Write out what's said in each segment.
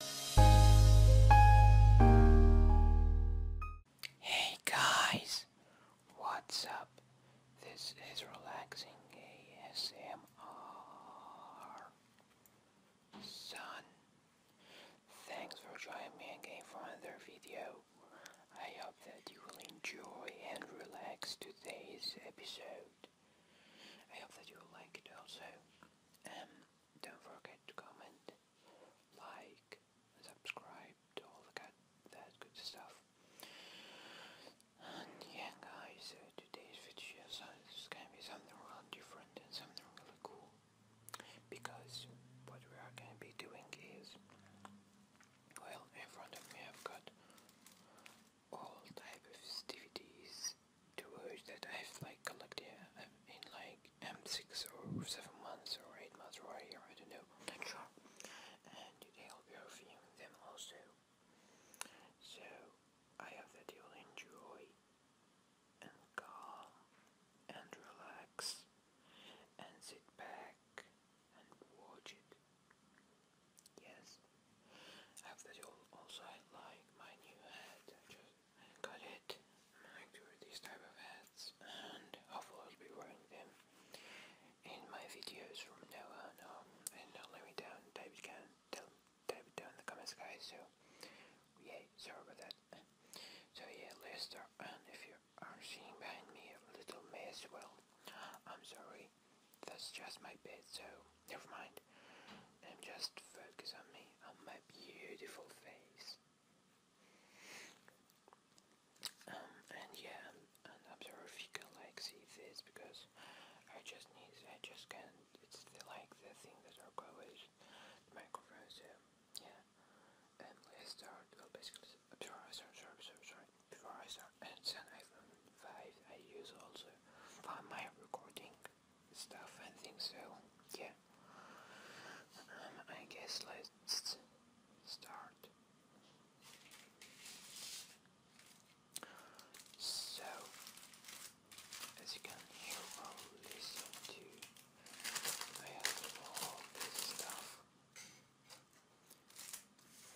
Hey guys, what's up? This is Relaxing ASMR Son. Thanks for joining me again for another video. I hope that you will enjoy and relax today's episode. I hope that you will like it also. Um, don't forget to comment, like, subscribe to all the good, that good stuff. And yeah guys, uh, today's video is gonna be something really different and something really cool. Because what we are gonna be doing is, well, in front of me I've got all type of festivities to words that I've like collected uh, in like M6 or 7 months or 8 months or a I don't know, And today I'll be them also. So, I hope that you'll enjoy and calm and relax and sit back and watch it. Yes, I that you also like my new hat. just got it. I like these type of hats and I'll be wearing them in my videos from now on. Um, and don't let me down. Type it tell, type down in the comments guys. So yeah, sorry about that. So yeah, let And if you are seeing behind me a little mess, well, I'm sorry. That's just my bed, so never mind. Now just focus on me, on my beautiful face. Um, and yeah, and observe if you can like see this because I just need, I just can't, it's the, like the thing that are covers the microphone, so yeah. And let's start, well oh, basically, sorry, sorry, sorry, sorry, sorry, before I start, and then iPhone 5 I use also for my recording stuff, I think so, yeah. Um, I guess let's start. So, as you can hear or listen to, I have all this stuff.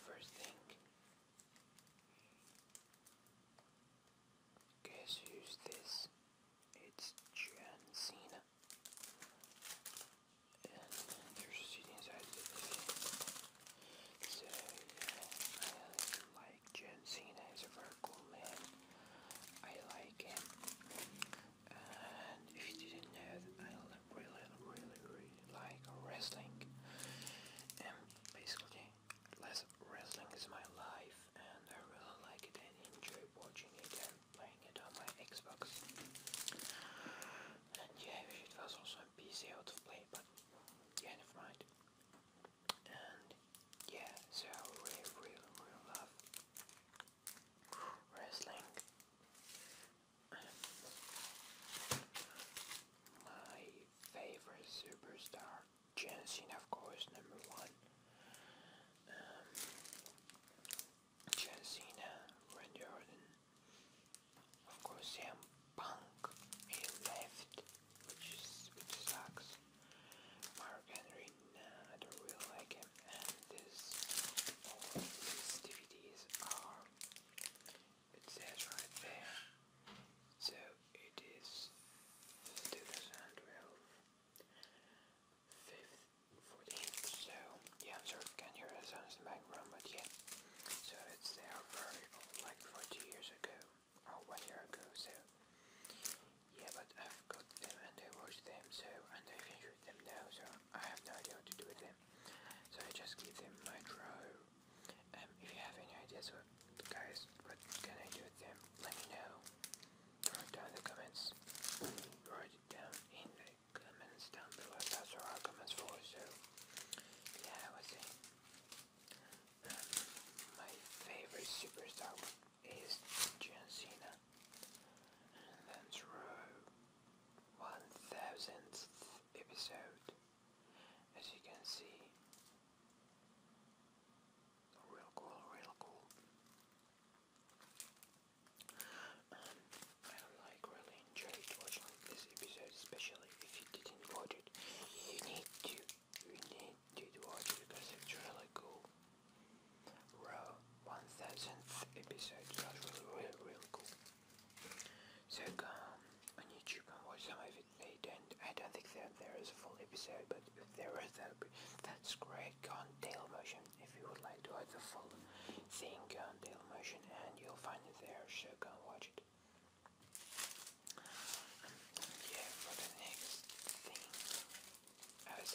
First thing Guess who's this? It's John Cena. And there's a seat inside the I like John Cena. He's a very cool man. I like him. And if you didn't know, I really, really, really like wrestling. And um, basically, wrestling is my life and I really like it and enjoy watching it and playing it on my Xbox. And yeah, it was also on PC out play, but yeah, never mind. And yeah, so I really, really, really love wrestling. Um, favorite superstar, John of course, number one. Um, John of course, CM Punk, he left, which is which sucks. Mark Henry, I don't really like him, and this all these DVDs are it says right there. So it is 2012. 5th, 14th, so yeah, I'm sorry if you hear the sounds in the background, but yeah. So it's there very old, like 40 years ago, or one year ago, so. Yeah, but I've got them and I watch them, so, and I finished them now, so I have no idea to do them. So I just give them my drawer um, if you have any ideas what guys can I do with them, let me know. Write down in the comments. Write down in the comments down below. That's what our comments for so yeah I was um, my favorite superstar is John Cena. And that's row one thousandth episode. As you can see, real cool, real cool. Um, I really enjoyed watching this episode, especially if you didn't watch it. You need to, you need to watch because it's really cool. Row 1000th episode was really, really, cool. So um, on YouTube and watch some of And I don't think that there is a full episode, but if there is, that'll be, that's great. Go on Motion if you would like to watch the full thing. Go on Motion and you'll find it there. So go watch it. Um, yeah, for the next thing, I was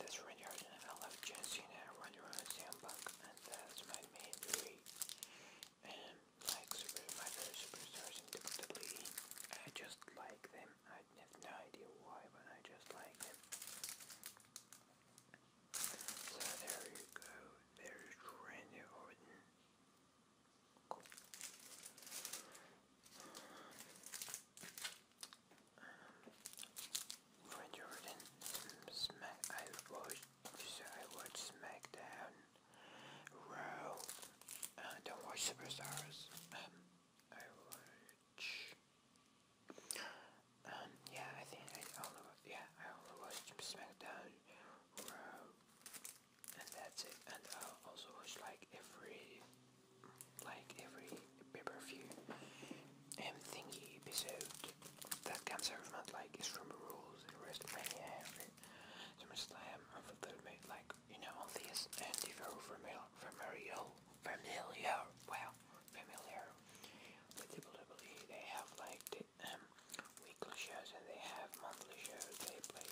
that's Randy and I love Jesse and I run around sandbox and that's my main three and like super matter superstars in WWE. I just like them. I have no idea why, but I just like them. So there you go. There's Randy Orton. Cool. Um, Randy Orton. Smack. I watched so I watch SmackDown, Raw, and I watch Superstars. Um, I watch. Um, yeah, I think I only yeah I only watch SmackDown, Raw, and that's it. And I also watch like every like every pay per view um, episode that comes serve not like is from rules and WrestleMania SummerSlam and fulfillment like you know all these and if you're familiar familiar familiar well familiar with WWE they have like the um, weekly shows and they have monthly shows they play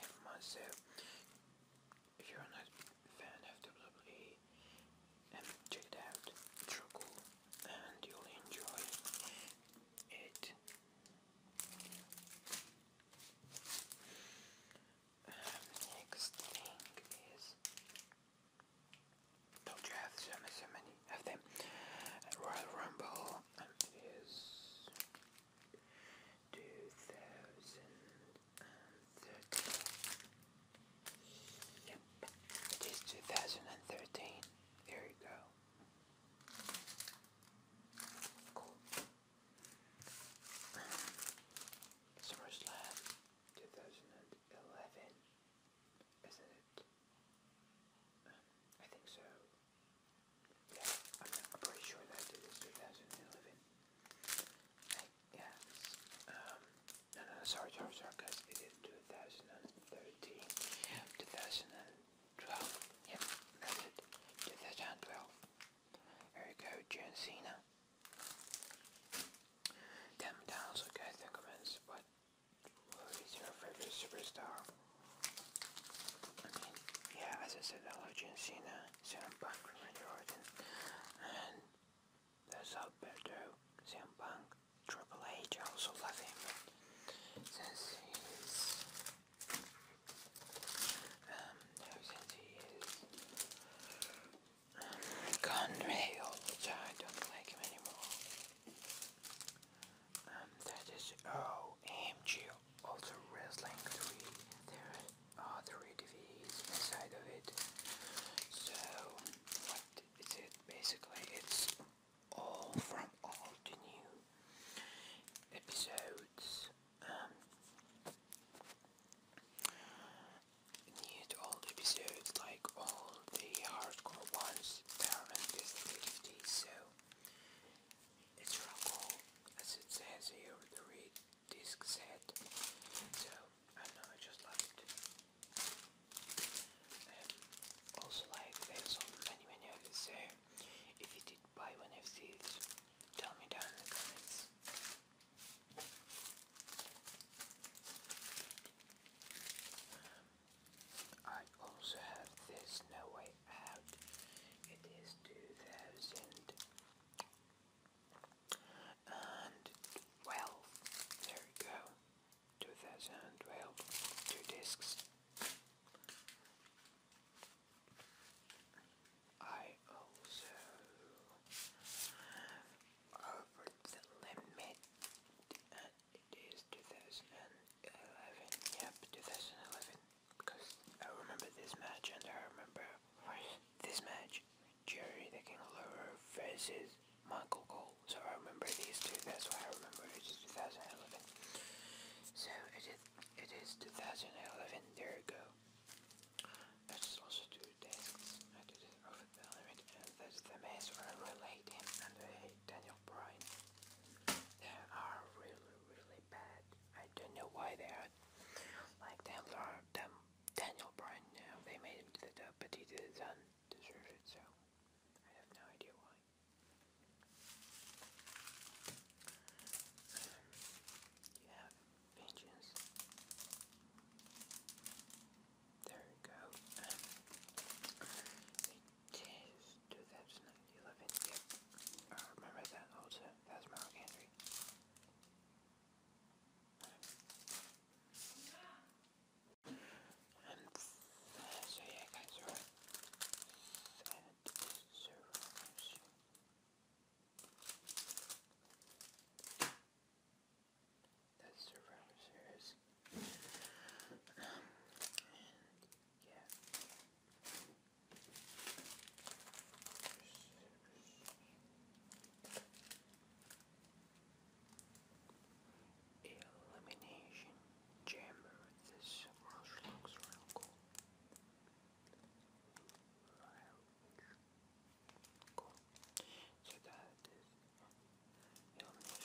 every month so if you're not a fan of WWE um, check it out, it's real cool and you'll enjoy it. Um, next thing is don't you have so many, of them? Royal Rumble is 2013. It is 2013. There you go. Cool. SummerSlam 2011. Isn't it? Um, I think so. Yeah, I'm, pretty sure that 2011. Yes. Um, no, no, sorry, sorry, sorry, It is 2013. Yeah. Yep, that's it. 2012. There you go, John Cena. Then down, so guys, the comments. What? Who is your favorite superstar? I mean, yeah, as I said, I love John Cena, Sam Punk, Randy Orton, and there's Alberto, CM Triple H, I also love him since he is, um, since he is um, gone which I don't like him anymore. Um, that is OMG, also Wrestling 3, there are three DVDs inside of it, so what is it? Basically, it's all from all the new episodes. Um, new to episodes, like all the hardcore ones, there are basically 50, so it's real cool. As it says here, the read disc set. So I know, I just love it. also, like there's so many many others. So if you did buy one of these, tell me down in the comments. I also have this No Way Out. It is 2000 and 12. There we go. 2012. Two discs. I also over the limit uh, it is 2011. Yep, 2011. Because I remember this match and I remember this match Jerry the King Lover versus Michael Cole. So I remember these two, that's why I remember it is 2011. So it is, it is 2011, there you go. That's also two desks, I did over the limit, and that's the mess where I relate him and I uh, hate Daniel Bryan. They are really, really bad. I don't know why they are like them, are them Daniel Bryan now. They made him to the top, but he didn't deserve it, so I have no idea why. Um, you vengeance. There you go. Um, 2011. Yep. I remember that also. That's Mark Henry. And so yeah guys, right. And so that's Survivor yeah. Elimination Chamber. This looks real cool. So that is Elimination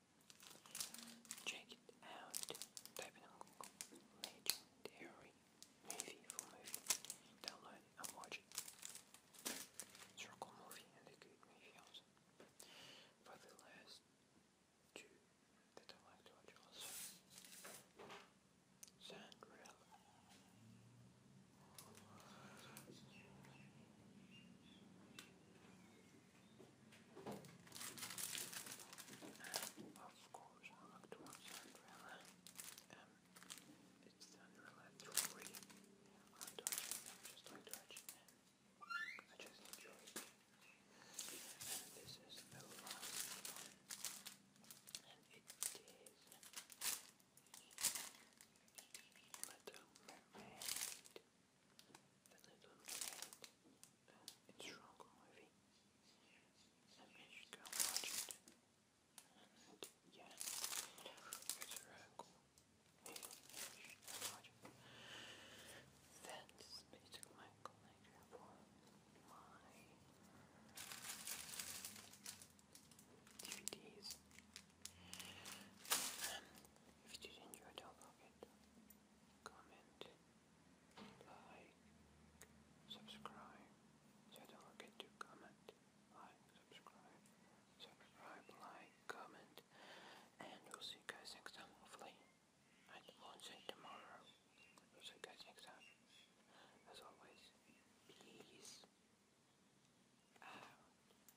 Check it out. Type in on Google legendary movie for movie. Download and watch it. It's movie and a good movie also. the last two that I like to watch also. Sandrella. And of course, I looked to and it's done really free. i just like touching them. I just enjoy it. And this is the last one. And it is Little Mermaid that I don't have it's wrong movie. I mean, you can watch it. yeah, it's really cool. Maybe you should watch it. That's basically my collection for my DVDs. If you did enjoy, don't forget comment, like, subscribe. don't forget to comment, like, subscribe, subscribe, like, comment. And we'll see you guys next time, hopefully. I won't say tomorrow. We'll see you guys next time. As always, peace out.